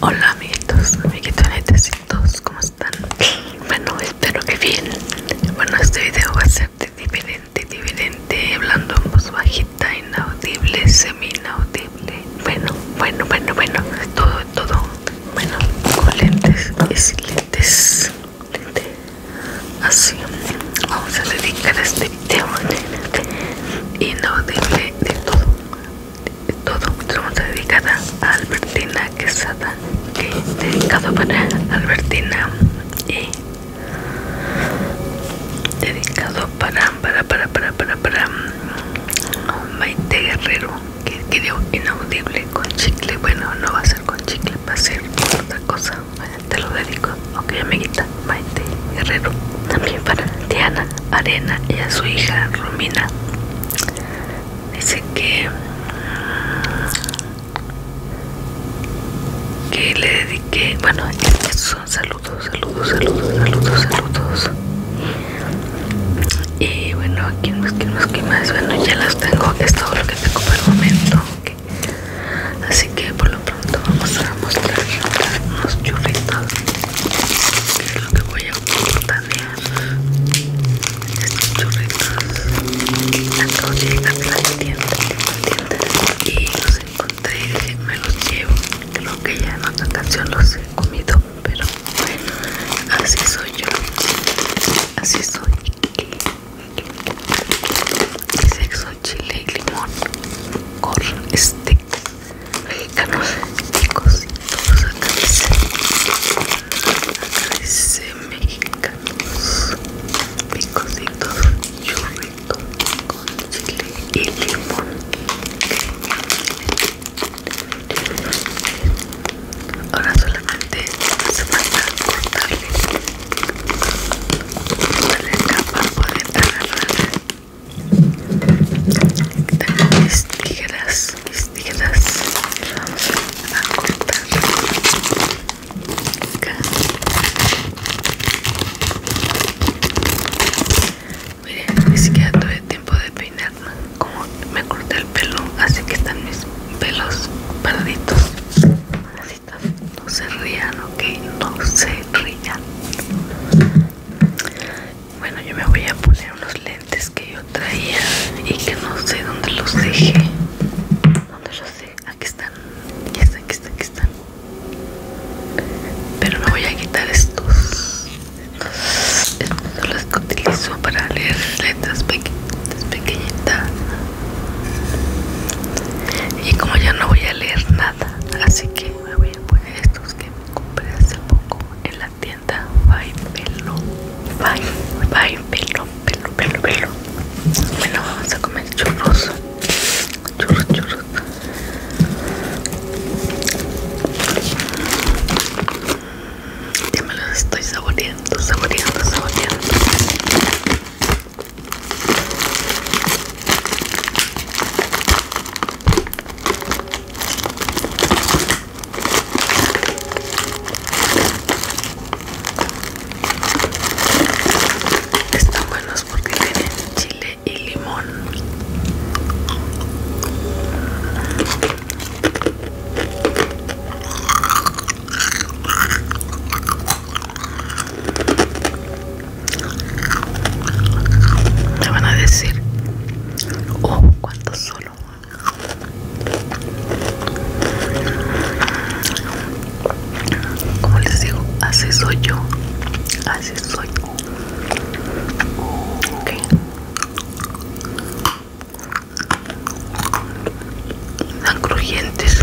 Hola amiguitos, amiguitos todos, ¿cómo están? Bueno, espero que bien Bueno, este video va a ser de diferente, diferente Hablando en voz bajita, inaudible, semi inaudible Bueno, bueno, bueno, bueno, todo, todo Bueno, con lentes y lentes Así, vamos a dedicar este video Inaudible de todo todo dedicada a Albertina Quesada dedicado para Albertina y dedicado para para para para para um, Maite Guerrero que dio inaudible con chicle bueno no va a ser con chicle va a ser otra cosa te lo dedico ok amiguita Maite Guerrero también para Diana Arena y a su hija Romina. Dice que, le dediqué, bueno, estos son saludos, saludos, saludos, saludos, saludos. Y bueno, aquí más, no más, que más? Bueno, ya los tengo, es todo lo que tengo por el momento. Así que por lo pronto vamos a mostrar unos churritos, que lo que voy estos churritos y los encontré y me los llevo creo que ya en otra canción los he comido pero bueno así soy yo así soy y sexo chile y limón con este mexicanos picositos todos acá dicen acá dice mexicanos picositos churrito con chile y limón ahora solamente hace a cortarle la capa para poder tengo mis tijeras, mis tijeras a cortar acá. Miren, ni siquiera tuve tiempo de peinar, como me corté el pelo, así que están mis pelos parditos. No se rían, ok, no se rían. Bueno, yo me voy a poner unos lentes que yo traía y que no sé dónde los dejé. ¿Dónde los sé? Aquí están. Ya están, aquí están, aquí están. Pero me voy a quitar estos. Estos son los que utilizo para leer letras pequeñitas, pequeñitas. Y como ya no voy a leer nada, así que me voy a poner estos compré hace poco en la tienda Bye Pelo. Bye, pelo, pelo, pelo, Bueno, vamos a comer churros. Churros, churros. Ya me los estoy saboreando, saboreando, saboreando. Están buenos porque tienen chile y limón. Me van a decir, oh, cuánto solo. Como les digo, así soy yo. Así soy. Ok. Tan crujientes.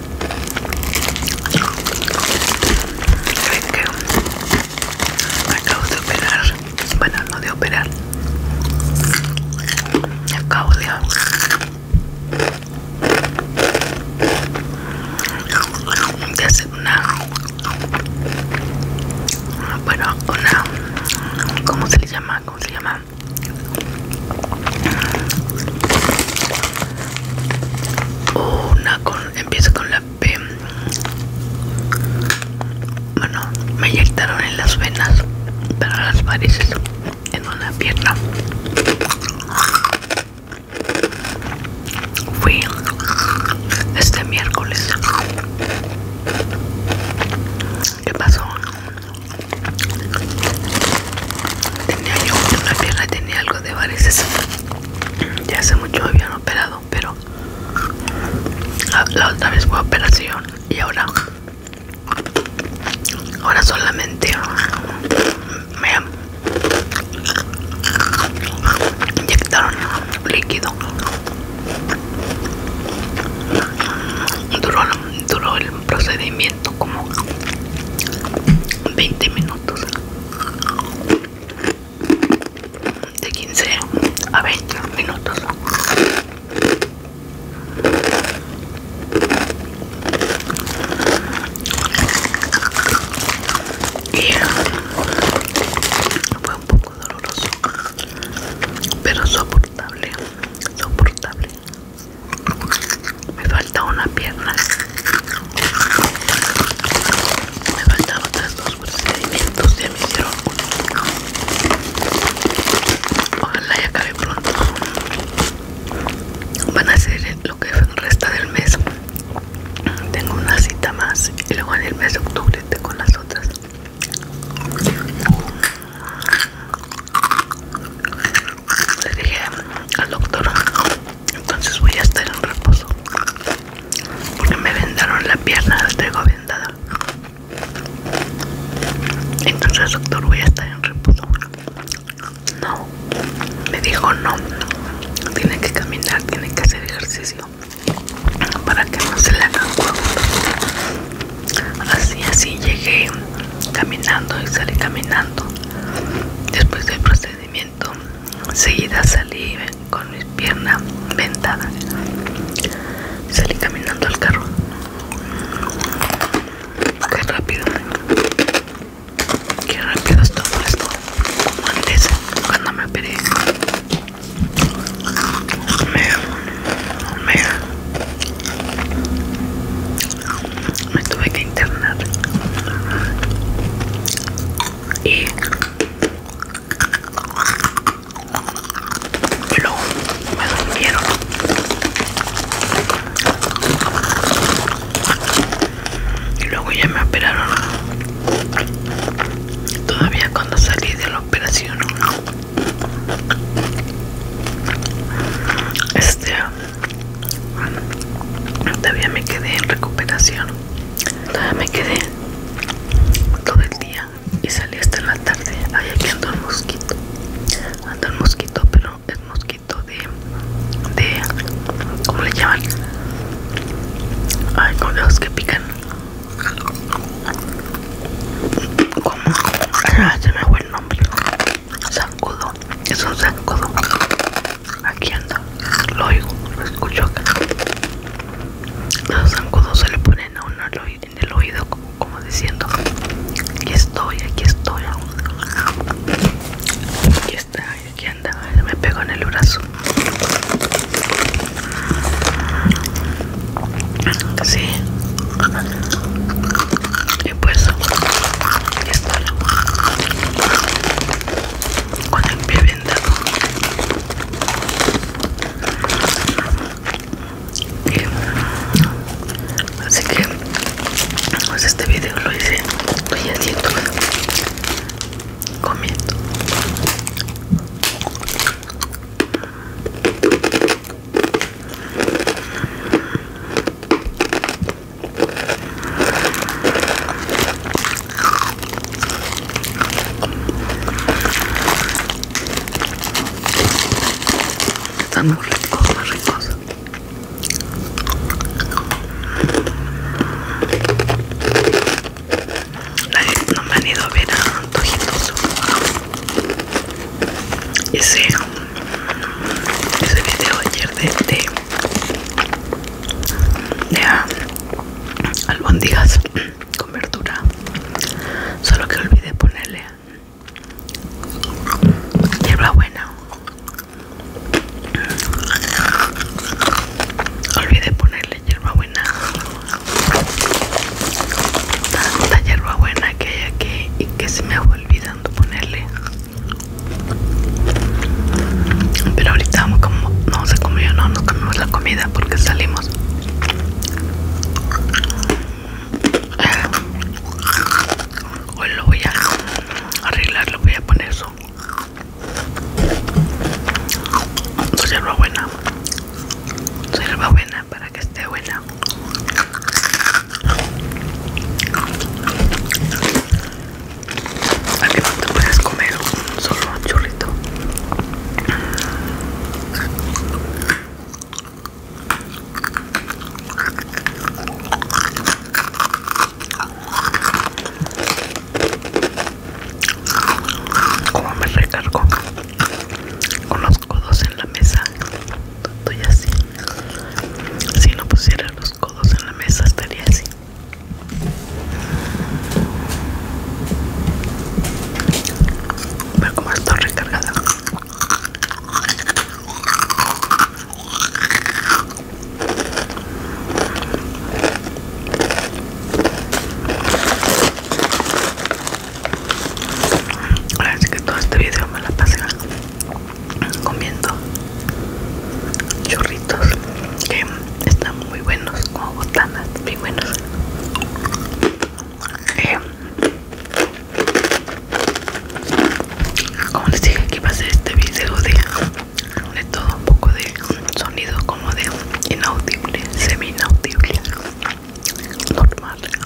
que Acabo de operar. Bueno, no de operar. Acabo de. de hacer una. Bueno, una. ¿Cómo se le llama? ¿Cómo se llama? Una con, empieza con la P. Bueno, me inyectaron en las venas para las varices, en una pierna. Fui este miércoles. ¿Qué pasó? Tenía yo una pierna, tenía algo de varices. Ya hace mucho habían operado, pero la, otra vez fue operación y ahora, ahora solamente me inyectaron líquido. Duró, duró el procedimiento como 20 minutos de 15 a 20 minutos fue un poco doloroso pero soportable soportable me falta una pierna me faltan otras dos procedimientos ya me hicieron ojalá ya acabe pronto van a ser lo que resta del mes tengo una cita más y luego en el mes de octubre tengo las otras le dije al doctor entonces voy a estar en reposo porque me vendaron la pierna la traigo vendada entonces doctor voy a estar en reposo no me dijo no tiene que caminar tiene que hacer ejercicio para que no se le un huevo. así así llegué caminando y salí caminando. Después del procedimiento, seguida salí con mis piernas vendadas. Salí caminando al carro. Qué rápido. Qué rápido es todo esto. Como antes, cuando me operé me tuve que internar y luego me durmieron y luego ya me operaron todavía cuando salí de la operación este Todavía me quedé en recuperación. Todavía me quedé todo el día y salí hasta la tarde. Ay, aquí ando el mosquito. Ando el mosquito, pero el mosquito de. de. ¿Cómo le llaman? Ay, con los que pican. ¿Cómo? Ah, ya me hago el nombre zancudo es un zancudo aquí anda lo oigo lo escucho acá los zancudos se le ponen a uno en el oído como, diciendo aquí estoy aquí estoy aquí está aquí anda me pegó en el brazo sí y pues esto con el pie bien así que pues este video lo hice estoy haciendo comiendo están muy ricos, muy ricos. no me han ido a ver a antojitos. Y ese video ayer de, de, ah, con verdura solo que olvidé ponerle hierba buena olvidé ponerle hierba buena tanta hierba buena que hay aquí y que se me va olvidando ponerle pero ahorita vamos como no se comió, no nos comimos la comida porque salimos. Eh, hoy lo voy a arreglar, lo voy a poner eso. Soy hierba buena. Soy buena para que esté buena. Al no te puedes comer solo un churrito. Como me recargo con los codos en la mesa Estoy así. Si no pusiera los codos en la mesa estaría así. Ver como está recargada. Ahora sí que todo este video me la pasé comiendo chorritos que están muy buenos como botanas muy buenos eh, como les dije aquí va a ser este video de, de todo un poco de sonido como de inaudible semi inaudible normal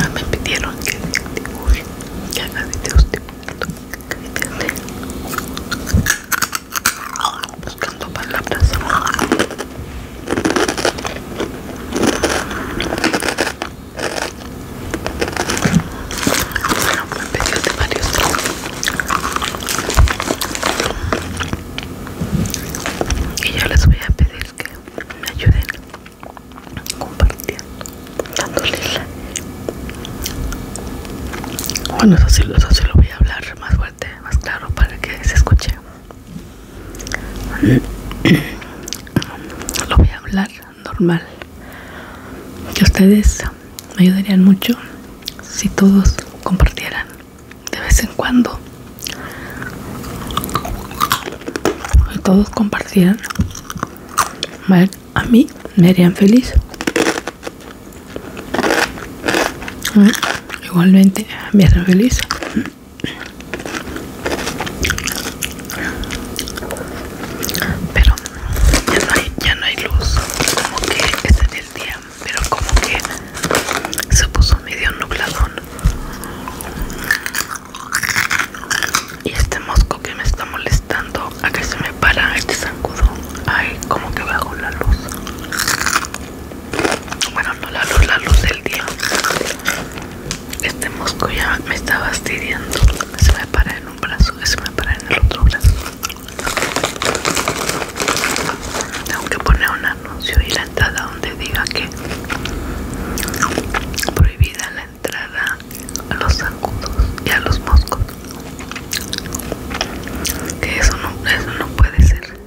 Ah, me pidieron que buscando palabras me de varios y yo les voy a pedir que me ayuden compartiendo dándoles bueno eso sí, eso sí lo voy a hablar más fuerte más claro para que se escuche lo voy a hablar normal que ustedes me ayudarían mucho si todos compartieran de vez en cuando si todos compartieran a mí me harían feliz mm, igualmente me harían feliz pero ya no hay, ya no hay luz, como que es en el día, pero como que se puso medio nubladón. Y este mosco que me está molestando, a que se me para este zancudo. Ay, como que bajo la luz. Bueno, no la luz, la luz del día. Este mosco ya me está fastidiando. Se me para un brazo que se me para en el otro brazo tengo que poner un anuncio y la entrada donde diga que prohibida la entrada a los zancudos y a los moscos que eso no, eso no puede ser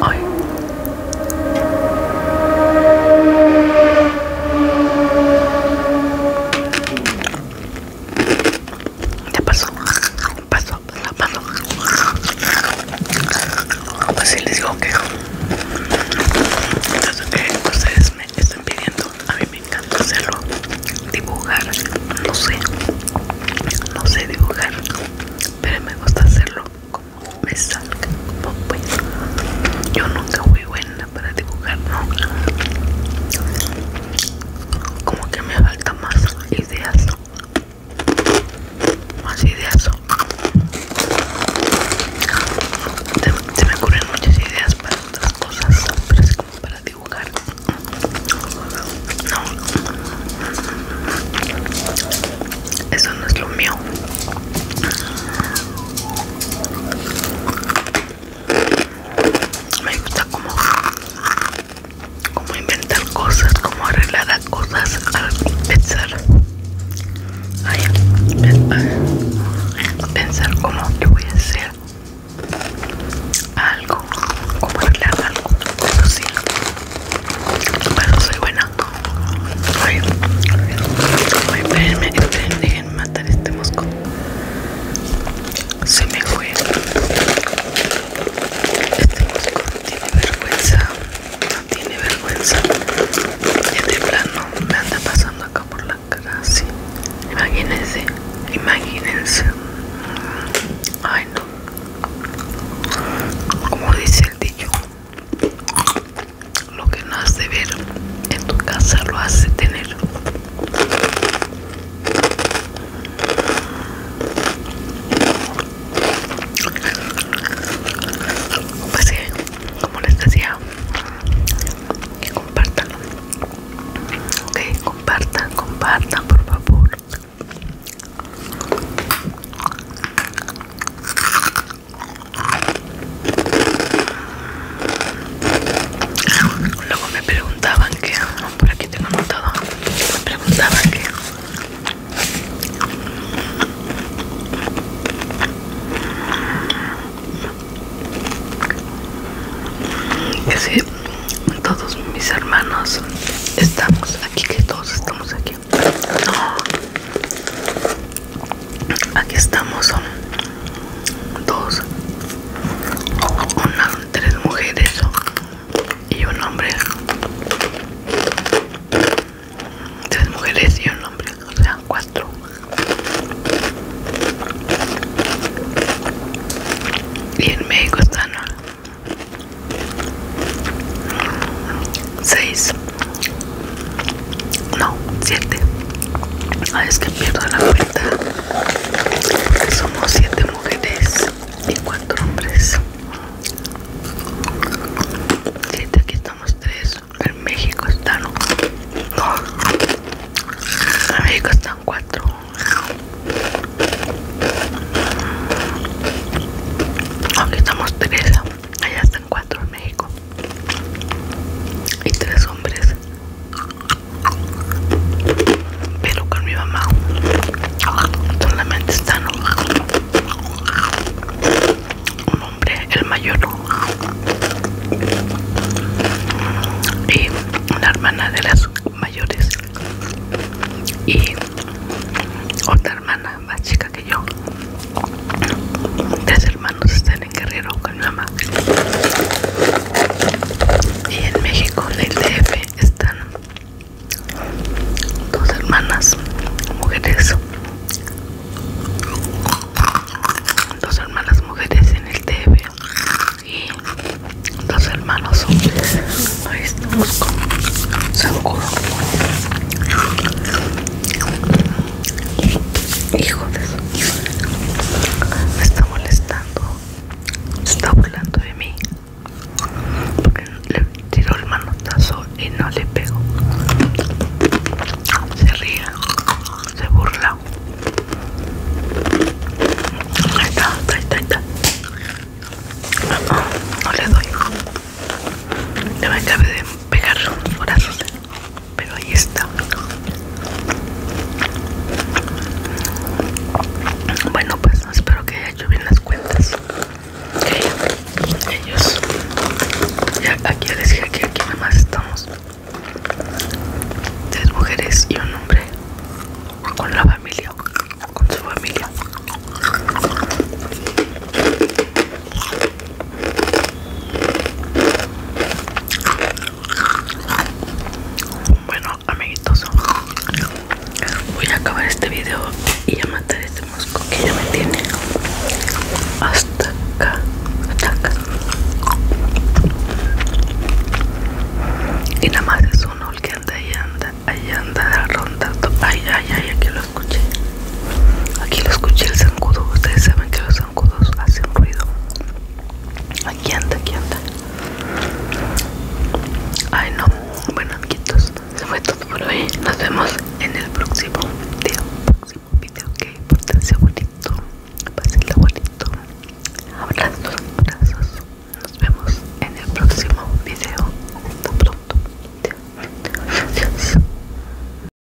hoy ya pasó, pasó, la pasó. Pues sí les digo que Entonces que ustedes me están pidiendo, a mí me encanta hacerlo. Dibujar, no sé, no sé dibujar, pero me gusta hacerlo como me salga, como pues. Yo nunca fui buena para dibujar, ¿no? Como que me falta más ideas. Más ideas. Se, me ocurren muchas ideas para otras cosas, pero es como para dibujar. No. Eso no es lo mío. Me gusta como, inventar cosas, como arreglar las cosas pensar. pensar como yo voy a hacer algo, como arreglar algo, pero sí. Pero soy buena en matar este mosco. Se me fue. Este mosco tiene vergüenza. No tiene vergüenza. Este plano me anda pasando acá por la cara así. Imagínense. Imagínense. Ay no. Como dice el dicho lo que no has de ver en tu casa lo has de tener pues como les decía que compartan ok compartan compartan por favor Luego me preguntaban que, por aquí tengo notado, me preguntaban que que si todos mis hermanos estamos aquí, que todos estamos aquí aquí estamos son dos una tres mujeres y un hombre tres mujeres y un hombre o sea cuatro y en México están seis no, 7. Ah, es que pierdo la cuenta. somos 7 mujeres y 4 hombres. 7, aquí estamos 3. En México están. No. En México están 4. Aquí estamos 3. Allá están 4 en México y tres hombres pero con mi mamá solamente están un hombre el mayor y una hermana de las mayores y otra hermana más chica que yo Tres hermanos están en Guerrero con mi mamá. Y en México, en el DF, están dos hermanas, mujeres. Dos hermanas mujeres en el DF y dos hermanos hombres. Ahí estamos con Hijo de eso. Me está molestando. está burlando de mí. Porque le tiró el manotazo y no le pego, Se ríe. Se burla. Ahí está, ahí No, le doy. Ya me acabé de pegar los brazos pero ahí está bueno pues espero que haya hecho bien las cuentas ellos ya aquí les dije que aquí nada más estamos tres mujeres y un hombre con la familia con su familia bueno, amiguitos, voy a acabar este video y a matar este mosco que ya me tiene hasta acá, Y nada más es uno que anda y anda, ahí anda rondando. Ay, ay, ay, aquí lo escuché. Aquí lo escuché el zancudo. Ustedes saben que los hacen ruido. Aquí anda, aquí anda. Ay, no. Bueno, amiguitos, se fue todo por hoy. Nos vemos en el próximo video. Próximo video, ok. abuelito? bonito. el bonito. Abrazos, abrazos. Nos vemos en el próximo video. Hasta pronto.